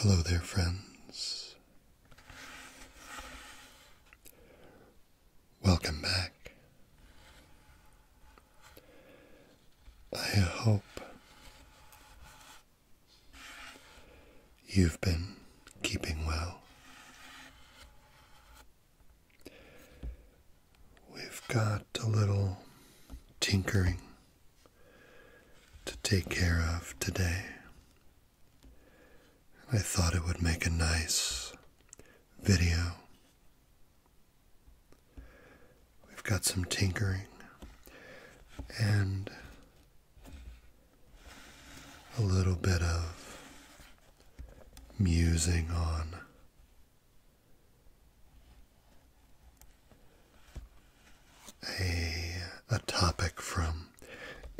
Hello there, friends. Welcome back I hope you've been keeping well. We've got a little tinkering to take care of today. I thought it would make a nice video We've got some tinkering and a little bit of musing on a, a topic from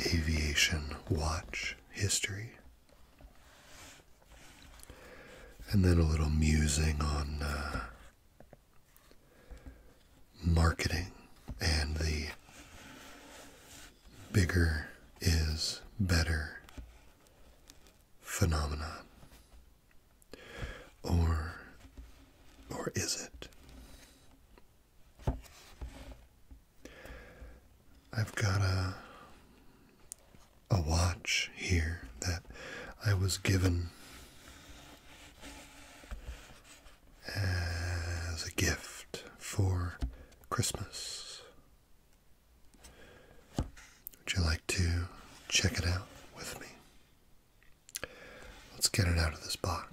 Aviation Watch History. And then a little musing on uh, marketing and the bigger is better phenomenon. Or, or is it? I've got a a watch here that I was given as a gift for Christmas. Would you like to check it out with me? Let's get it out of this box.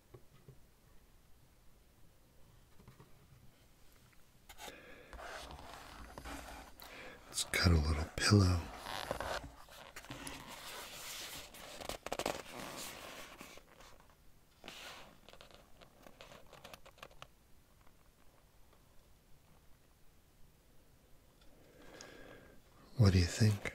Let's cut a little pillow. What do you think?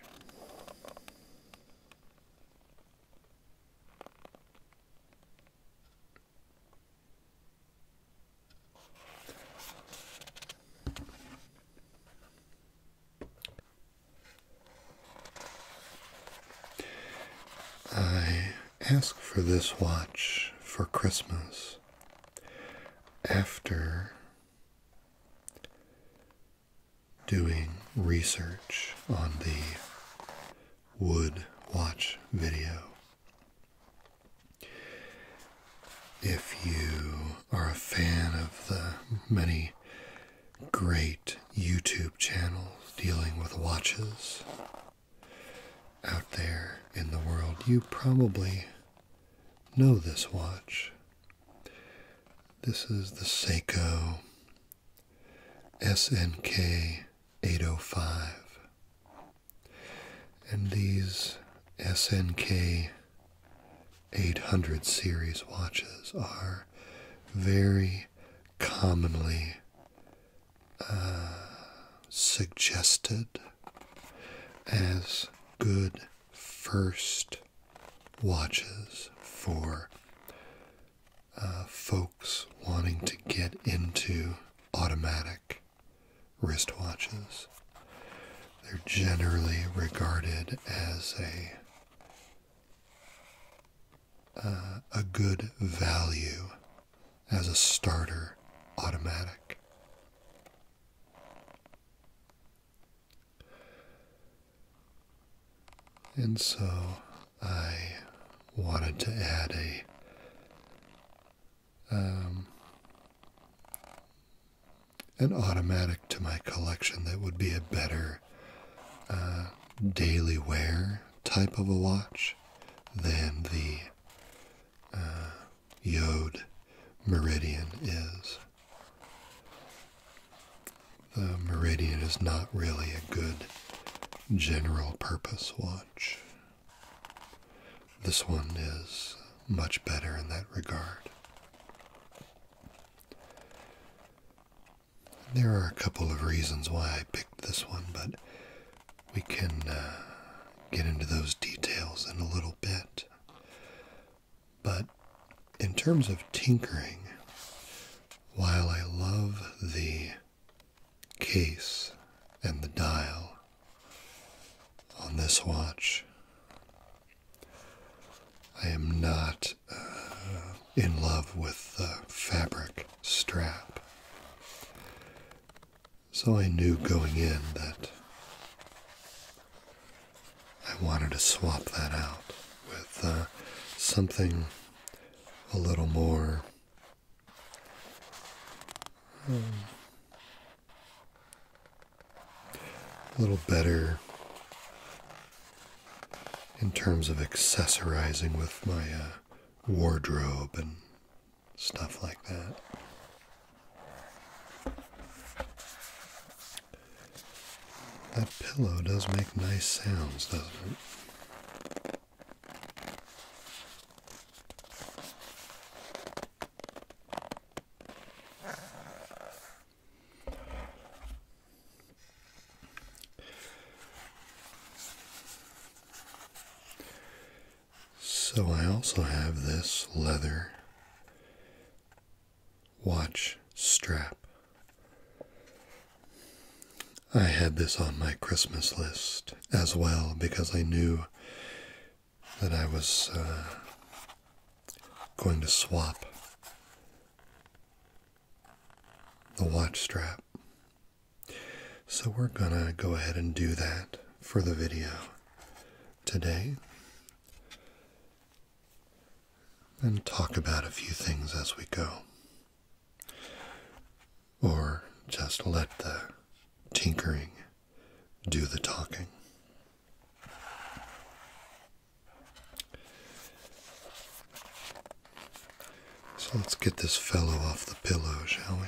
I asked for this watch for Christmas after doing research on the wood watch video. If you are a fan of the many great YouTube channels dealing with watches out there in the world, you probably know this watch. This is the Seiko SNK 805. And these SNK 800 series watches are very commonly uh, suggested as good first watches for uh, folks wanting to get into automatic wristwatches. They're generally regarded as a uh, a good value as a starter automatic. And so I wanted to add a um, an automatic to my collection that would be a better uh, daily wear type of a watch than the uh, Yod Meridian is. The Meridian is not really a good general purpose watch. This one is much better in that regard. There are a couple of reasons why I picked this one, but we can uh, get into those details in a little bit. But in terms of tinkering, while I love the case and the dial on this watch, I am not uh, in love with the fabric strap. So I knew going in that I wanted to swap that out with uh, something a little more. Hmm, a little better in terms of accessorizing with my uh, wardrobe and stuff like that. That pillow does make nice sounds, doesn't it? So I also have this leather watch strap. I had this on my Christmas list as well because I knew that I was uh, going to swap the watch strap. So we're gonna go ahead and do that for the video today and talk about a few things as we go. Or just let the tinkering do the talking. So let's get this fellow off the pillow, shall we?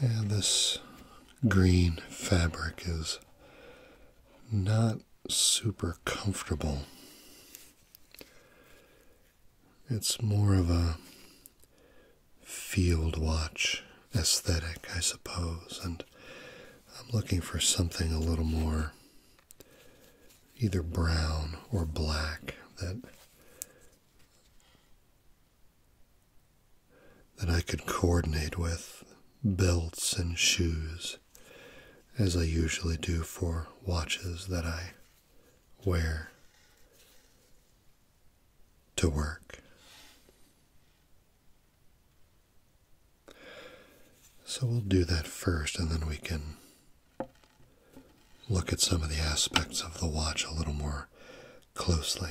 And this green fabric is not super comfortable. It's more of a field watch aesthetic, I suppose, and I'm looking for something a little more either brown or black that that I could coordinate with belts and shoes as I usually do for watches that I wear to work. So we'll do that first, and then we can look at some of the aspects of the watch a little more closely.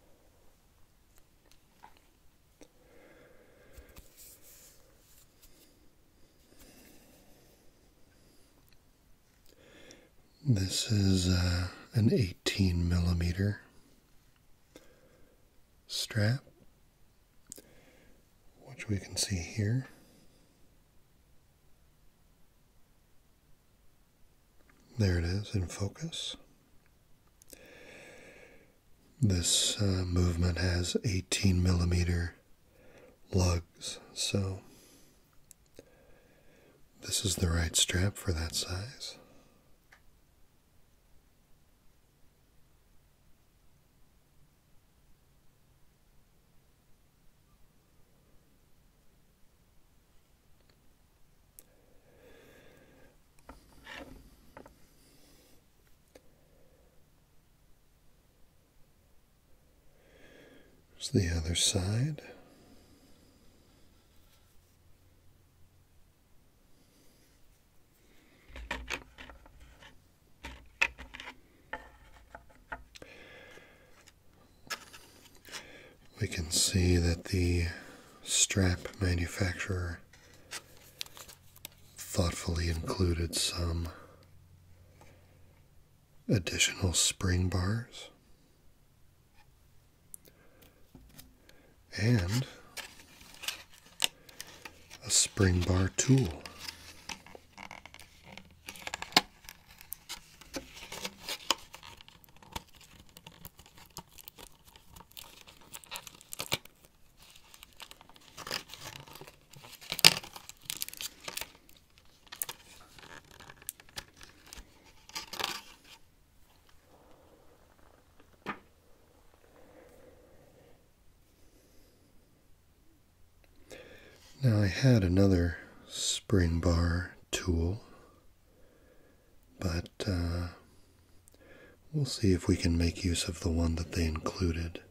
This is uh, an 18 millimeter strap, which we can see here. There it is in focus. This uh, movement has 18 millimeter lugs, so this is the right strap for that size. There's the other side we can see that the strap manufacturer thoughtfully included some additional spring bars and a spring bar tool. Now, I had another spring bar tool but uh, we'll see if we can make use of the one that they included.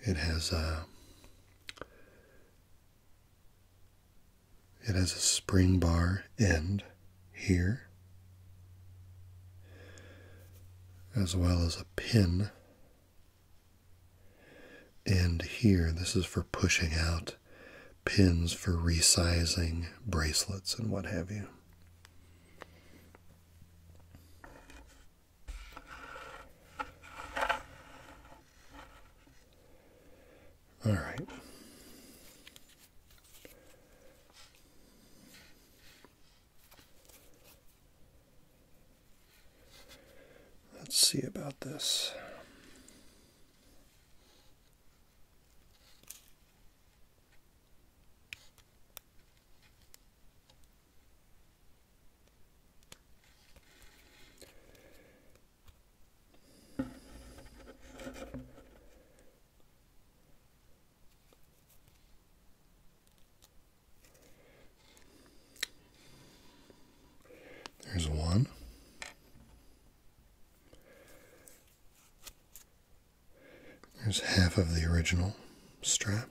It has a uh, it has a spring bar end here, as well as a pin end here. This is for pushing out pins for resizing bracelets and what have you. All right. Let's see about this. There's one. There's half of the original strap.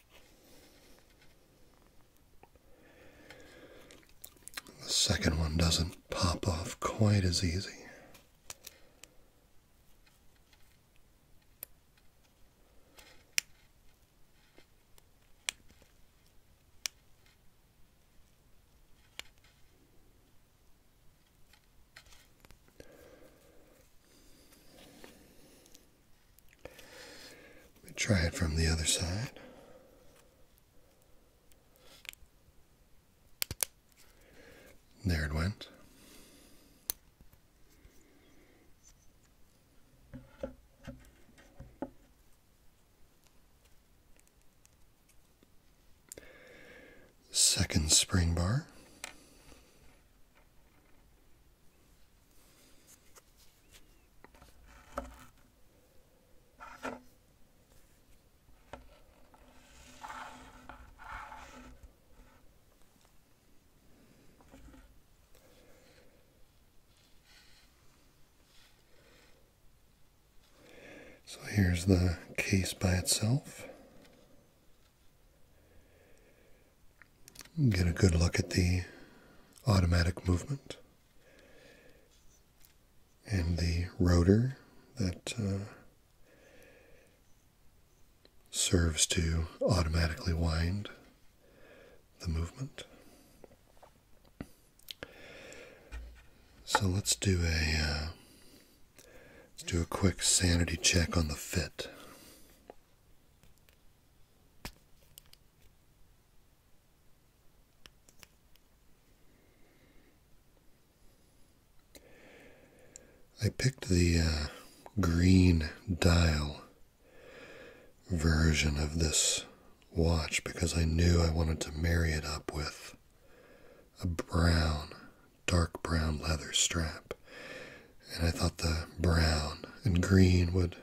The second one doesn't pop off quite as easy. Let me try it from the other side. There it went. Second spring bar. So here's the case by itself. Get a good look at the automatic movement and the rotor that uh, serves to automatically wind the movement. So let's do a uh, let's do a quick sanity check on the fit. I picked the uh, green dial version of this watch because I knew I wanted to marry it up with a brown, dark brown leather strap. And I thought the brown and green would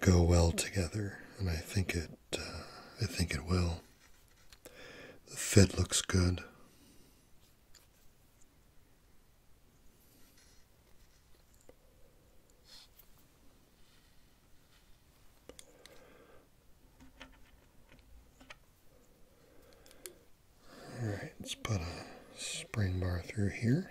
go well together, and I think it. Uh, I think it will. The fit looks good. All right, let's put a spring bar through here.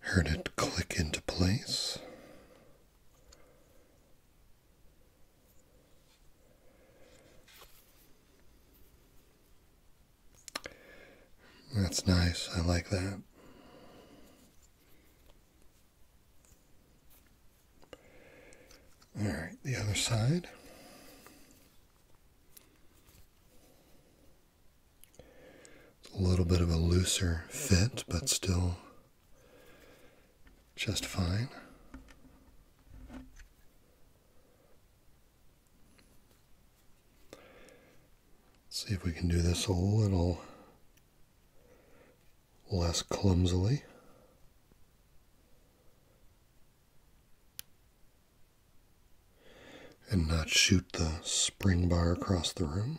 Heard it click into place. That's nice. I like that. All right, the other side. a little bit of a looser fit, but still just fine. See if we can do this a little less clumsily. And not shoot the spring bar across the room.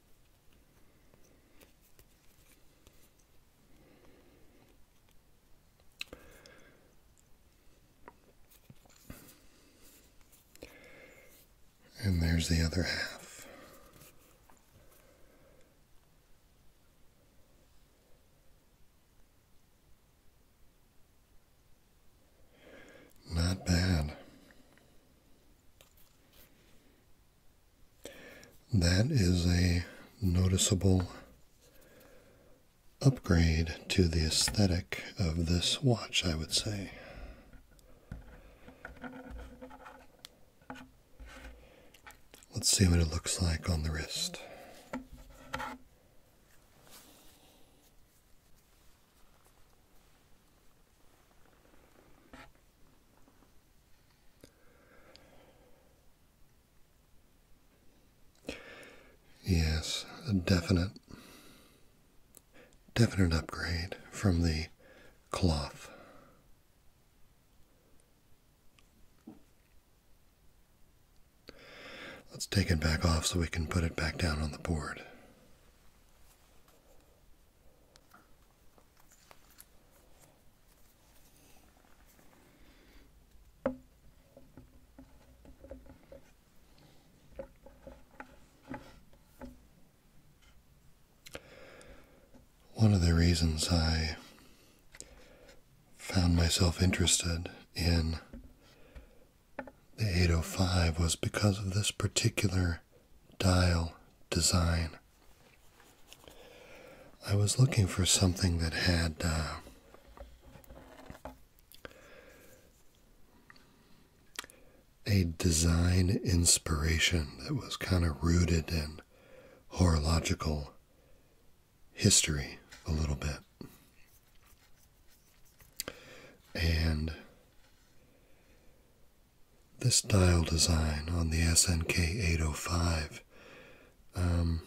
And there's the other half. Not bad. That is a noticeable upgrade to the aesthetic of this watch, I would say. Let's see what it looks like on the wrist. Yes, a definite, definite upgrade from the cloth. Let's take it back off so we can put it back down on the board. One of the reasons I found myself interested in the 805 was because of this particular dial design. I was looking for something that had uh, a design inspiration that was kind of rooted in horological history a little bit. And this dial design on the SNK 805 um,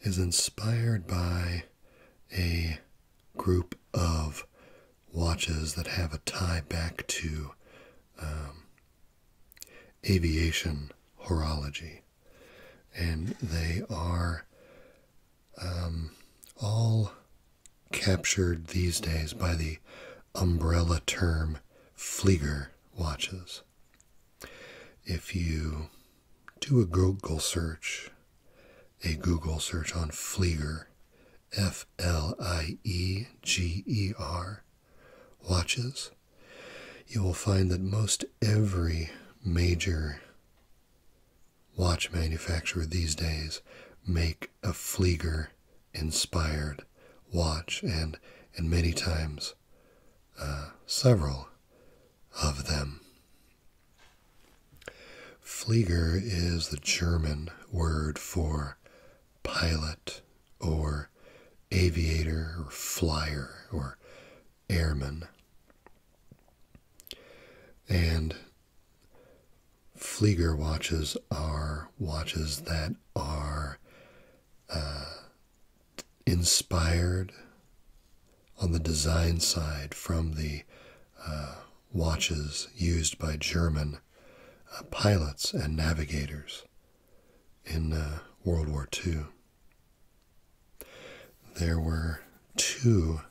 is inspired by a group of watches that have a tie back to um, aviation horology. And they are um, all captured these days by the umbrella term Flieger watches. If you do a Google search, a Google search on Flieger, F L I E G E R, watches, you will find that most every major watch manufacturer these days make a Flieger inspired watch, and, and many times uh, several of them. Flieger is the German word for pilot or aviator or flyer or airman. And Flieger watches are watches that are uh, inspired on the design side from the uh, watches used by German uh, pilots and navigators in World War II. There were two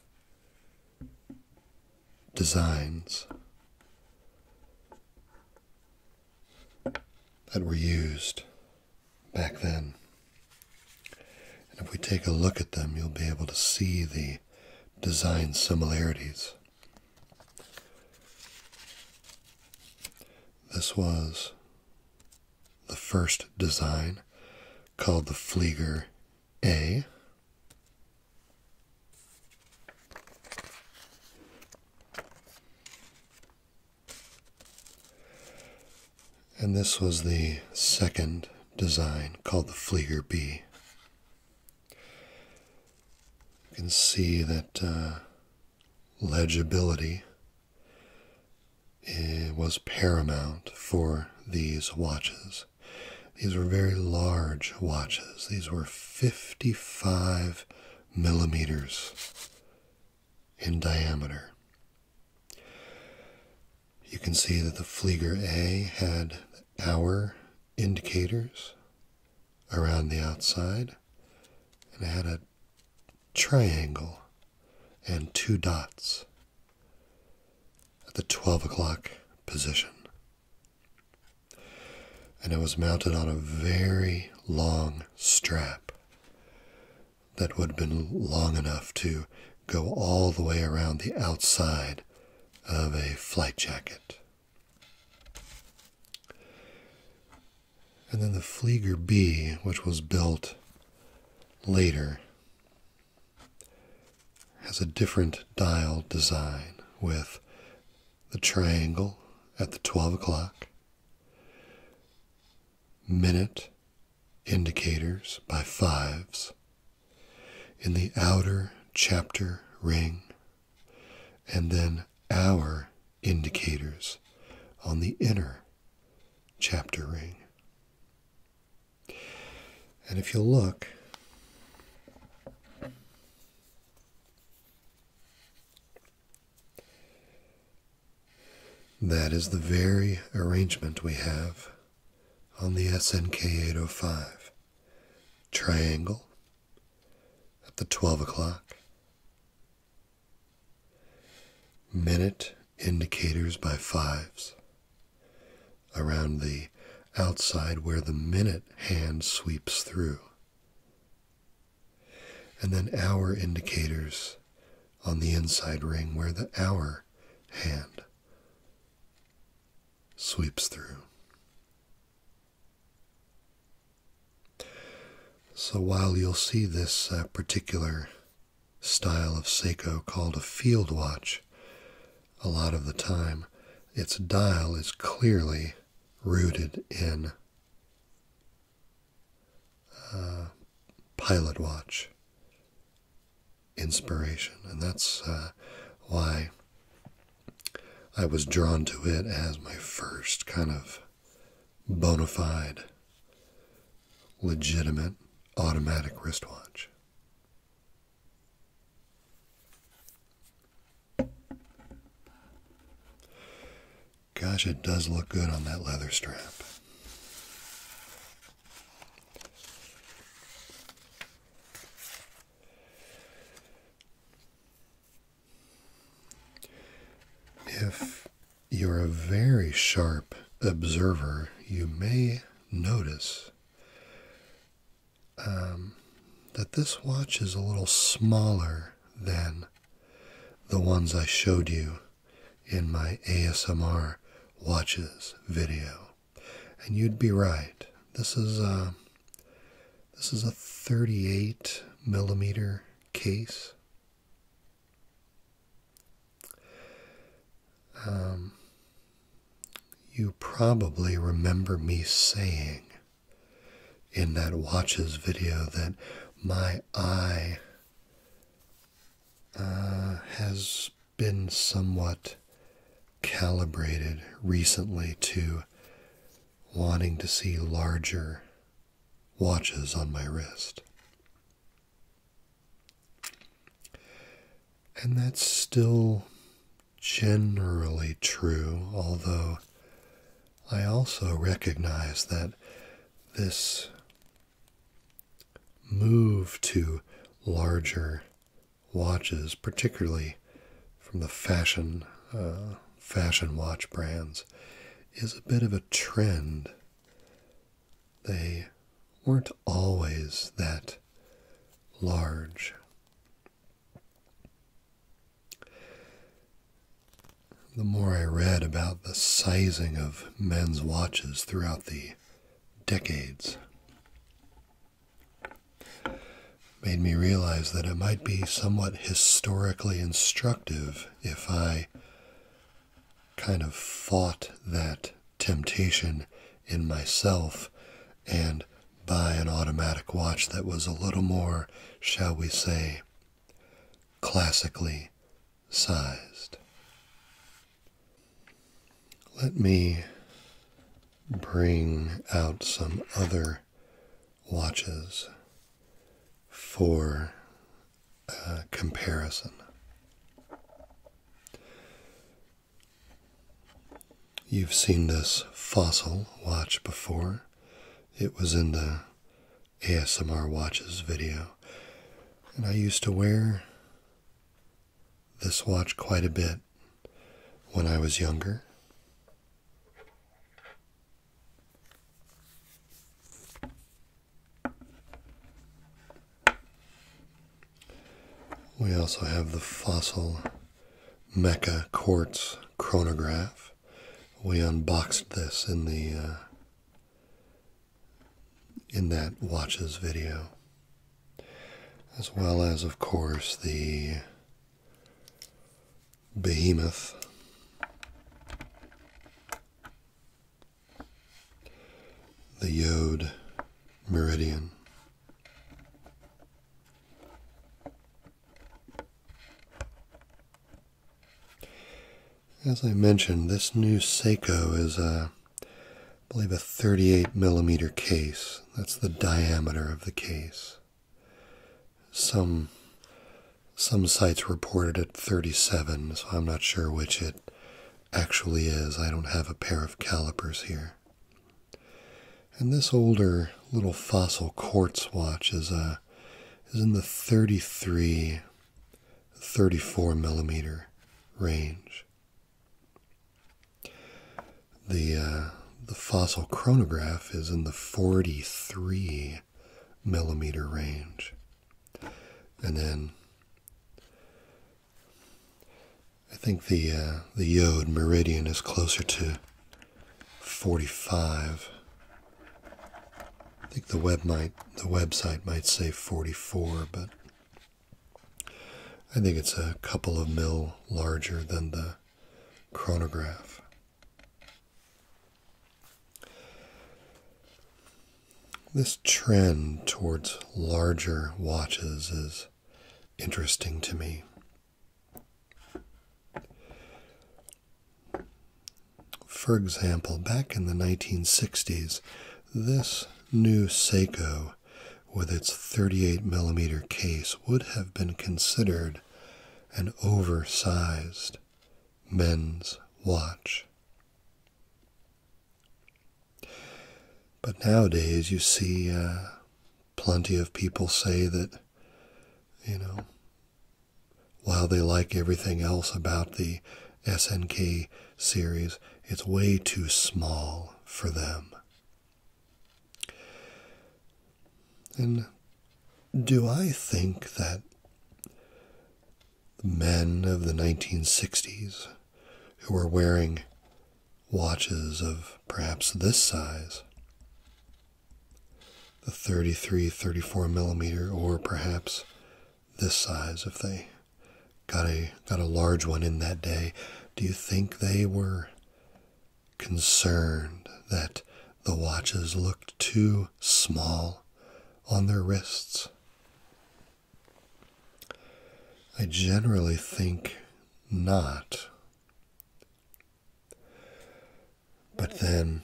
designs that were used back then. And if we take a look at them, you'll be able to see the design similarities. This was the first design called the Flieger A. And this was the second design called the Flieger B. You can see that uh, legibility eh, was paramount for these watches. These were very large watches. These were 55 millimeters in diameter. You can see that the Flieger A had hour indicators around the outside, and had a triangle and two dots at the 12 o'clock position and it was mounted on a very long strap that would have been long enough to go all the way around the outside of a flight jacket. And then the Flieger B, which was built later, has a different dial design with the triangle at the 12 o'clock, minute indicators by fives in the outer chapter ring, and then hour indicators on the inner chapter ring. And if you look, that is the very arrangement we have on the SNK 805 triangle at the 12 o'clock, minute indicators by fives around the outside where the minute hand sweeps through and then hour indicators on the inside ring where the hour hand sweeps through. So while you'll see this uh, particular style of Seiko called a field watch a lot of the time, its dial is clearly rooted in uh, Pilot Watch inspiration, and that's uh, why I was drawn to it as my first kind of bona fide, legitimate automatic wristwatch. Gosh, it does look good on that leather strap. If you're a very sharp observer, you may notice um, that this watch is a little smaller than the ones I showed you in my ASMR watches video. And you'd be right. This is a, this is a 38 millimeter case. Um, you probably remember me saying in that watches video that my eye uh, has been somewhat calibrated recently to wanting to see larger watches on my wrist. And that's still generally true, although I also recognize that this move to larger watches, particularly from the fashion uh, fashion watch brands, is a bit of a trend. They weren't always that large. The more I read about the sizing of men's watches throughout the decades, made me realize that it might be somewhat historically instructive if I kind of fought that temptation in myself and by an automatic watch that was a little more, shall we say, classically sized. Let me bring out some other watches for comparison. You've seen this fossil watch before. It was in the ASMR watches video. And I used to wear this watch quite a bit when I was younger. We also have the fossil Mecca Quartz chronograph. We unboxed this in the uh, in that watches video, as well as, of course, the behemoth. The Yod Meridian. As I mentioned, this new Seiko is a, I believe, a 38 millimeter case. That's the diameter of the case. Some some sites reported at 37, so I'm not sure which it actually is. I don't have a pair of calipers here. And this older little fossil quartz watch is a uh, is in the 33 34 millimeter range. The uh, the fossil chronograph is in the 43 millimeter range. And then I think the uh, the Yod meridian is closer to 45. I think the web might the website might say 44, but I think it's a couple of mil larger than the chronograph. This trend towards larger watches is interesting to me. For example, back in the 1960s, this new Seiko with its 38 millimeter case would have been considered an oversized men's watch. But nowadays, you see uh, plenty of people say that you know, while they like everything else about the SNK series, it's way too small for them. And do I think that the men of the 1960s who were wearing watches of perhaps this size the 33 34 millimeter or perhaps this size if they got a got a large one in that day do you think they were concerned that the watches looked too small on their wrists i generally think not but then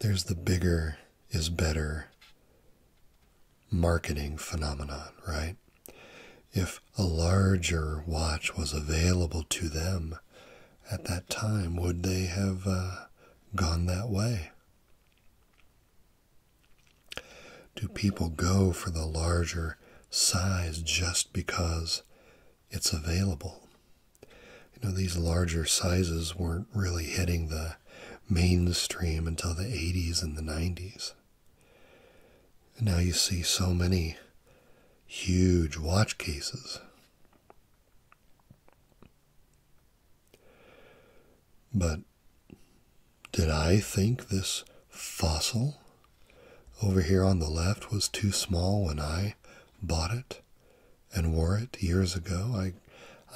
there's the bigger is better marketing phenomenon, right? If a larger watch was available to them at that time, would they have uh, gone that way? Do people go for the larger size just because it's available? you know, these larger sizes weren't really hitting the mainstream until the 80s and the 90s. And now you see so many huge watch cases. But did I think this fossil over here on the left was too small when I bought it and wore it years ago. I,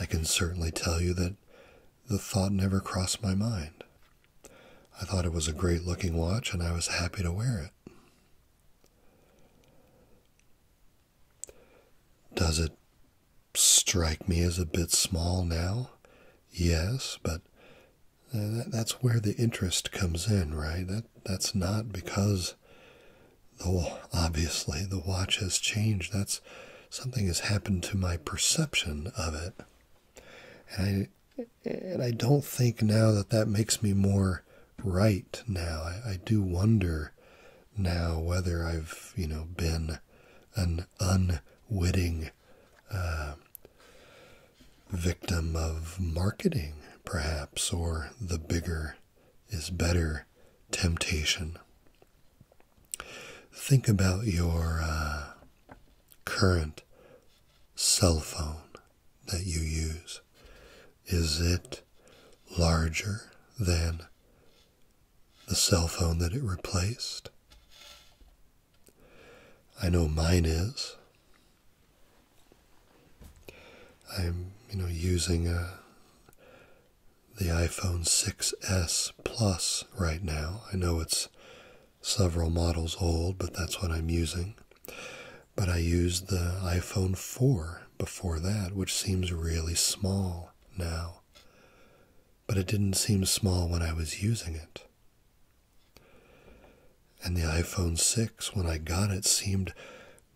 I can certainly tell you that the thought never crossed my mind. I thought it was a great looking watch and I was happy to wear it. Does it strike me as a bit small now? Yes, but uh, that's where the interest comes in, right? That that's not because though obviously the watch has changed that's something has happened to my perception of it and i and i don't think now that that makes me more right now i, do wonder now whether i've you know been an unwitting uh, victim of marketing, perhaps, or the bigger is better temptation. Think about your uh, current cell phone that you use. Is it larger than the cell phone that it replaced? I know mine is. I'm, you know, using uh, the iPhone 6s Plus right now. I know it's several models old, but that's what I'm using. But I used the iPhone 4 before that, which seems really small now. But it didn't seem small when I was using it. And the iPhone 6, when I got it, seemed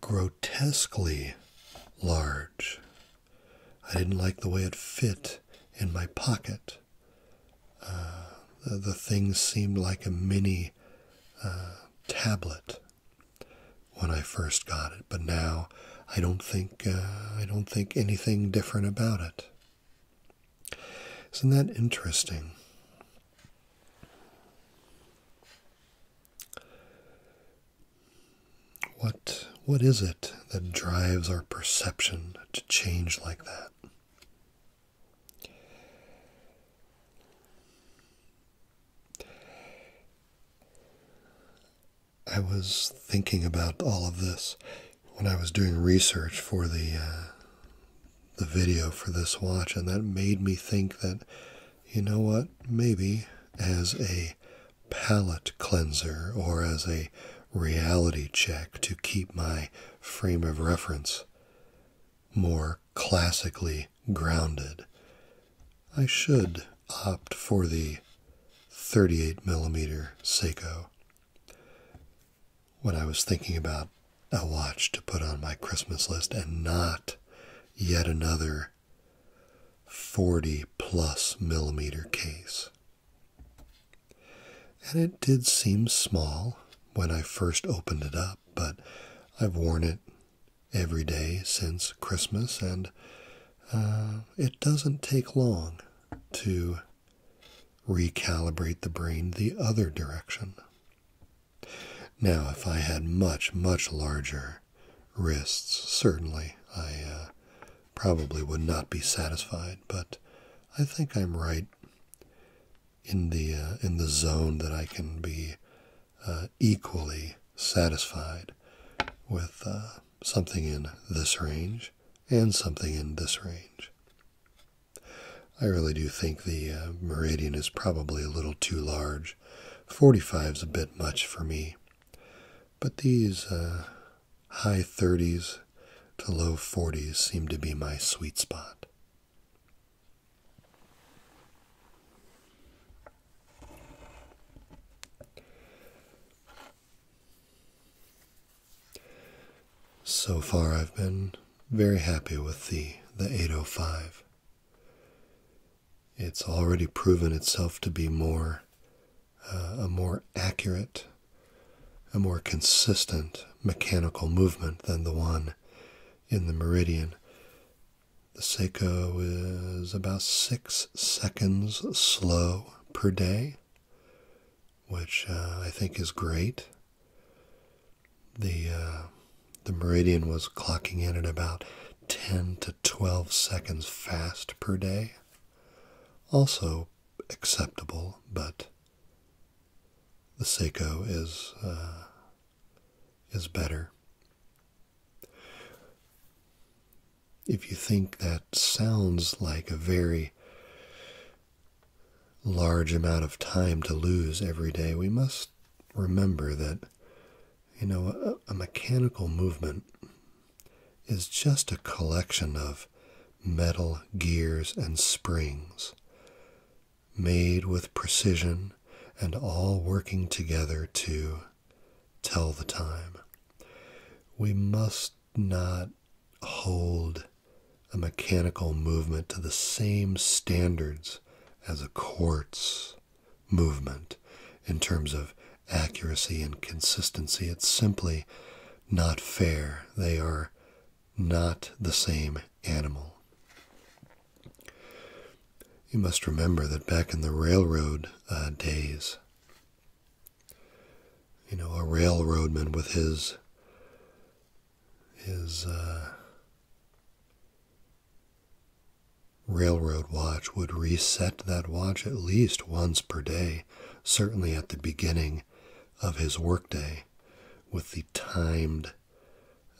grotesquely large. I didn't like the way it fit in my pocket. Uh, the, thing seemed like a mini uh, tablet when I first got it, but now I don't think uh, I don't think anything different about it. Isn't that interesting? What, what is it that drives our perception to change like that? I was thinking about all of this when I was doing research for the uh, the video for this watch, and that made me think that, you know what, maybe as a palate cleanser or as a reality check to keep my frame of reference more classically grounded, I should opt for the 38 millimeter Seiko. What I was thinking about a watch to put on my Christmas list and not yet another 40 plus millimeter case. And it did seem small when I first opened it up, but I've worn it every day since Christmas, and uh, it doesn't take long to recalibrate the brain the other direction. Now, if I had much, much larger wrists, certainly I uh, probably would not be satisfied, but I think I'm right in the uh, in the zone that I can be uh, equally satisfied with something in this range and something in this range. I really do think the uh, Meridian is probably a little too large. 45 is a bit much for me. But these uh, high 30s to low 40s seem to be my sweet spot. So far, I've been very happy with the, the 805. It's already proven itself to be more uh, a more accurate, a more consistent mechanical movement than the one in the meridian. The Seiko is about six seconds slow per day, which uh, I think is great. The uh, the meridian was clocking in at about 10 to 12 seconds fast per day. Also acceptable, but the Seiko is uh, is better. If you think that sounds like a very large amount of time to lose every day, we must remember that, you know, a mechanical movement is just a collection of metal gears and springs made with precision and all working together to tell the time. We must not hold a mechanical movement to the same standards as a quartz movement in terms of accuracy and consistency. It's simply not fair. They are not the same animal. You must remember that back in the railroad uh, days, you know, a railroadman with his his uh, railroad watch would reset that watch at least once per day, certainly at the beginning of his workday, with the timed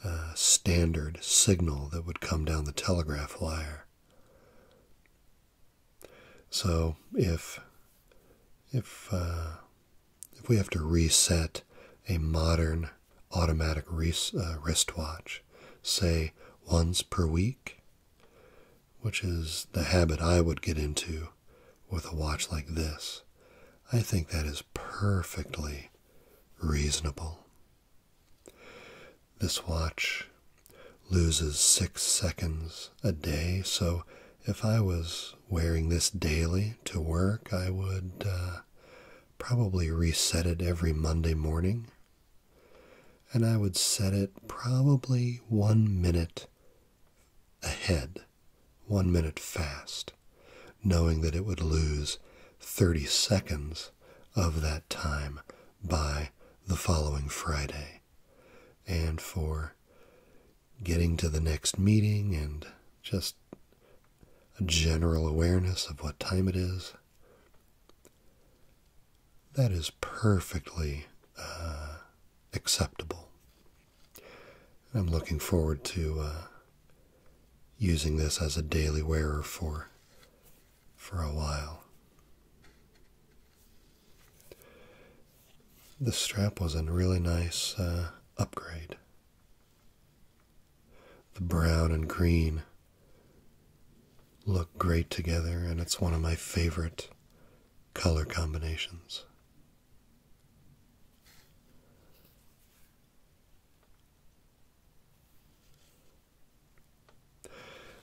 uh, standard signal that would come down the telegraph wire. So if if uh, if we have to reset a modern automatic uh, wristwatch, say once per week, which is the habit I would get into with a watch like this. I think that is perfectly reasonable. This watch loses six seconds a day, so if I was wearing this daily to work, I would uh, probably reset it every Monday morning. And I would set it probably one minute ahead, one minute fast, knowing that it would lose 30 seconds of that time by the following Friday. And for getting to the next meeting and just a general awareness of what time it is, that is perfectly uh, acceptable. I'm looking forward to uh, using this as a daily wearer for for a while. The strap was a really nice uh, upgrade. The brown and green look great together, and it's one of my favorite color combinations.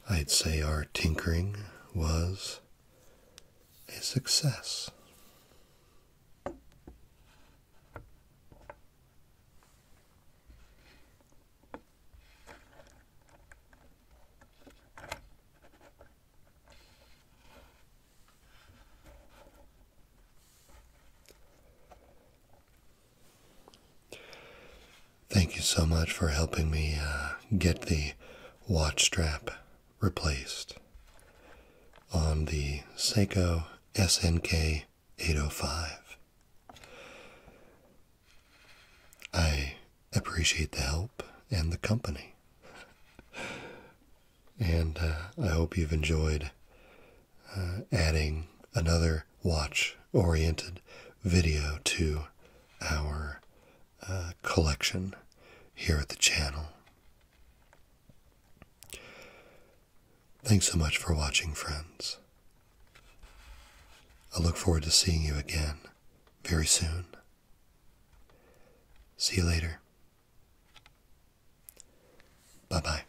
I'd say our tinkering was a success. Thank you so much for helping me uh, get the watch strap replaced on the Seiko SNK 805. I appreciate the help and the company. and uh, I hope you've enjoyed uh, adding another watch oriented video to our uh, collection here at the channel. Thanks so much for watching, friends. I look forward to seeing you again very soon. See you later. Bye bye.